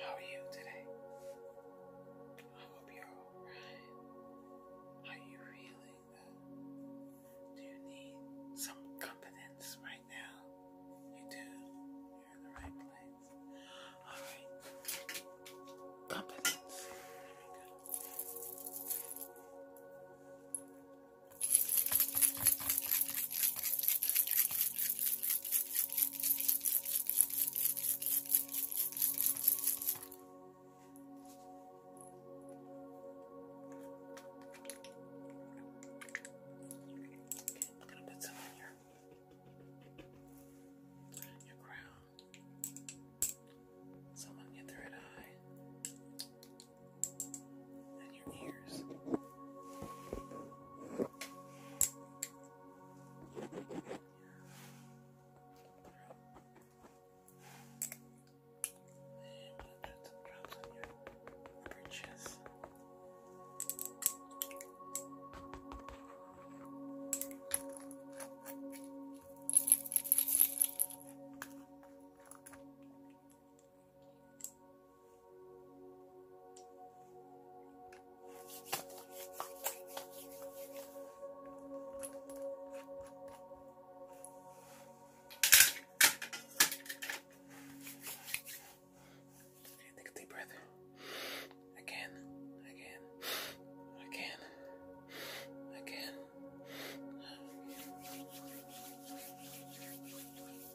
How are you today? I hope you're alright. are you feeling? Do you need some confidence right now? You do. You're in the right place. Alright. Confidence. There we go. I'm gonna put some on your your crown. Someone get the red eye and your ears. And drops on your upper Take a deep breath. Again, again, again, again.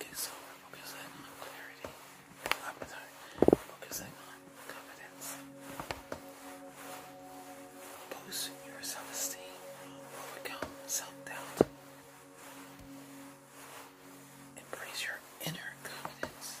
Okay, so focusing on clarity. I'm sorry, we're focusing on confidence. Boost your self esteem, overcome self doubt. Embrace your inner confidence.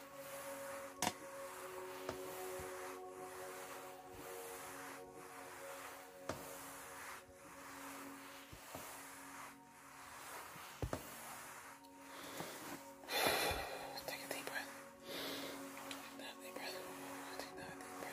Take a deep breath. Take another deep breath. Take another deep breath.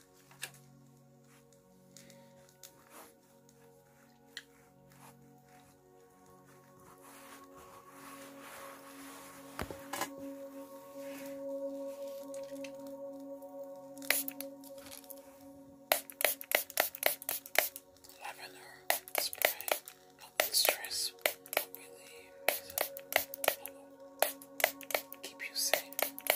Lavender spray help with stress, help keep you safe.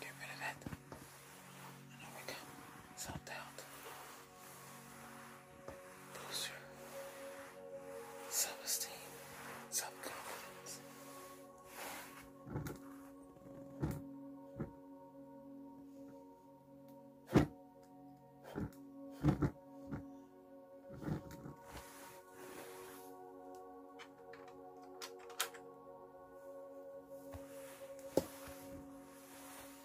Get rid of that. And we can sort out boost self-esteem, self-confidence.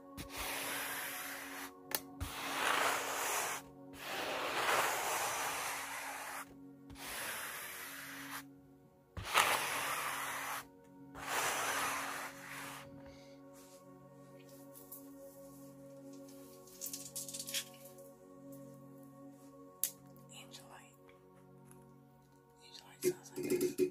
Angelite. Angelite sounds like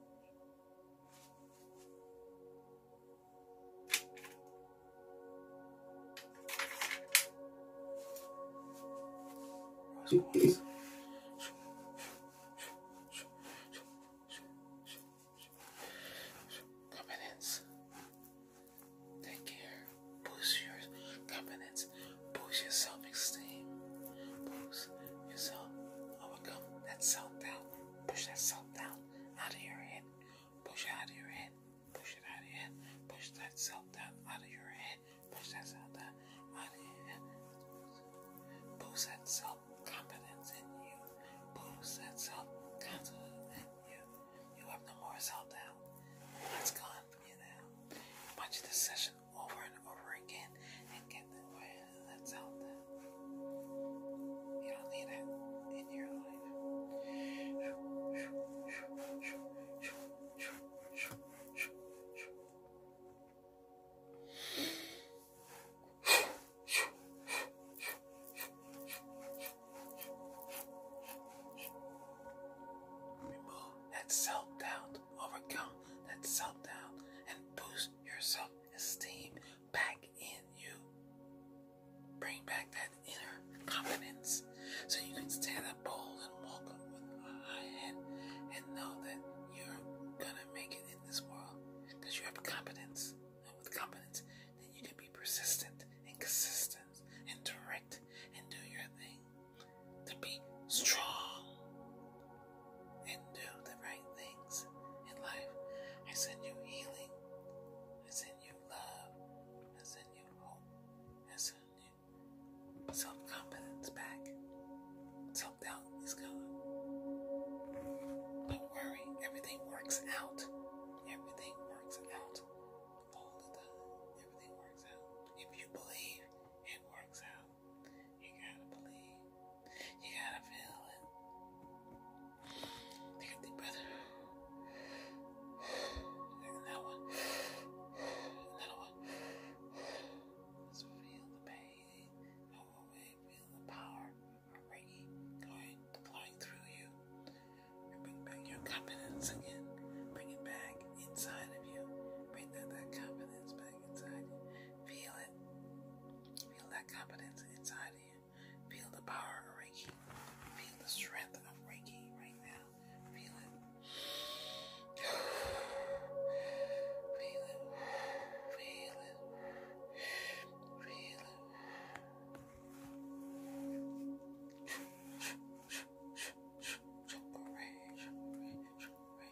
Competence. Take care. Boost your competence confidence, boost your self esteem, boost yourself, overcome that self doubt, push that self doubt out of your head, push it out of your head, push it out of your head, push that self doubt out of your head, push that self doubt out of your head, boost that self confidence in you, boost that self confidence in you. You have no more self doubt. That's gone from you now. I want you to session over and over again and get that way that's out You don't need it in your life. Remove that self doubt, overcome that self doubt and boost your self esteem back in you. Bring back that inner confidence so you can stand up bold and walk with a high head and know that you're gonna make it in this world That you have confidence. And with confidence, then you can be persistent and consistent and direct and do your thing to be strong and do the right things in life. I send you healing. I send you love. I send you hope. I send you self confidence back. Self doubt is gone. Don't worry, everything works out. Everything works out all the time. Everything works out. If you believe, it works out. You gotta believe. You gotta feel it. Take a deep breath. one. Another one. let feel the pain. Go away. Feel the power of going, flowing through you. bring back your confidence again. Bring it back inside of you. Bring that confidence back. Feel it. Feel that confidence inside of you. Feel the power of Reiki. Feel the strength of Reiki right now. Feel it. Feel it. Feel it. Feel it. Feel it.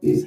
Is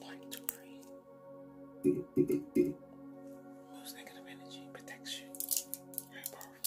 Light to green. Most negative energy protects you. I love it.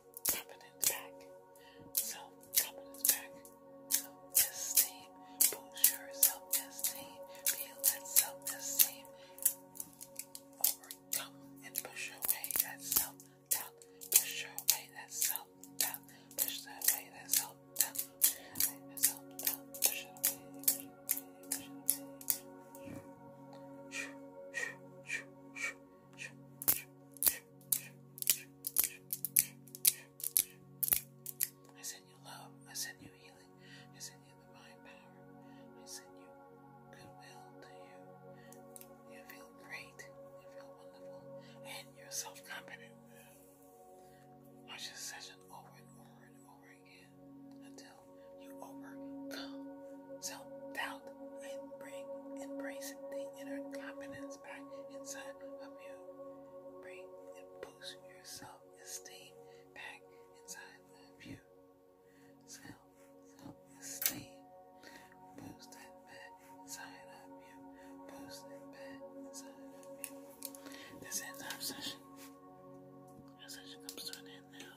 confidence back. Self confidence back. Self esteem. Boost your self esteem. Feel that self esteem. Overcome and push away that self doubt. Push away that self doubt. Push away that self doubt. that self doubt. Push it away. Push it away. Push it away. Push it away. I send you love. I send you healing. I send you divine power. I send you goodwill to you. You feel great. You feel wonderful. And you're self confident. Watch this session over and over and over again until you overcome self doubt and bring embracing the inner confidence back inside of you. Bring and boost your self esteem back inside of you. Self self esteem. Boost that back inside of you. Boost that back inside of you. This ends our session. Our session comes to an end now.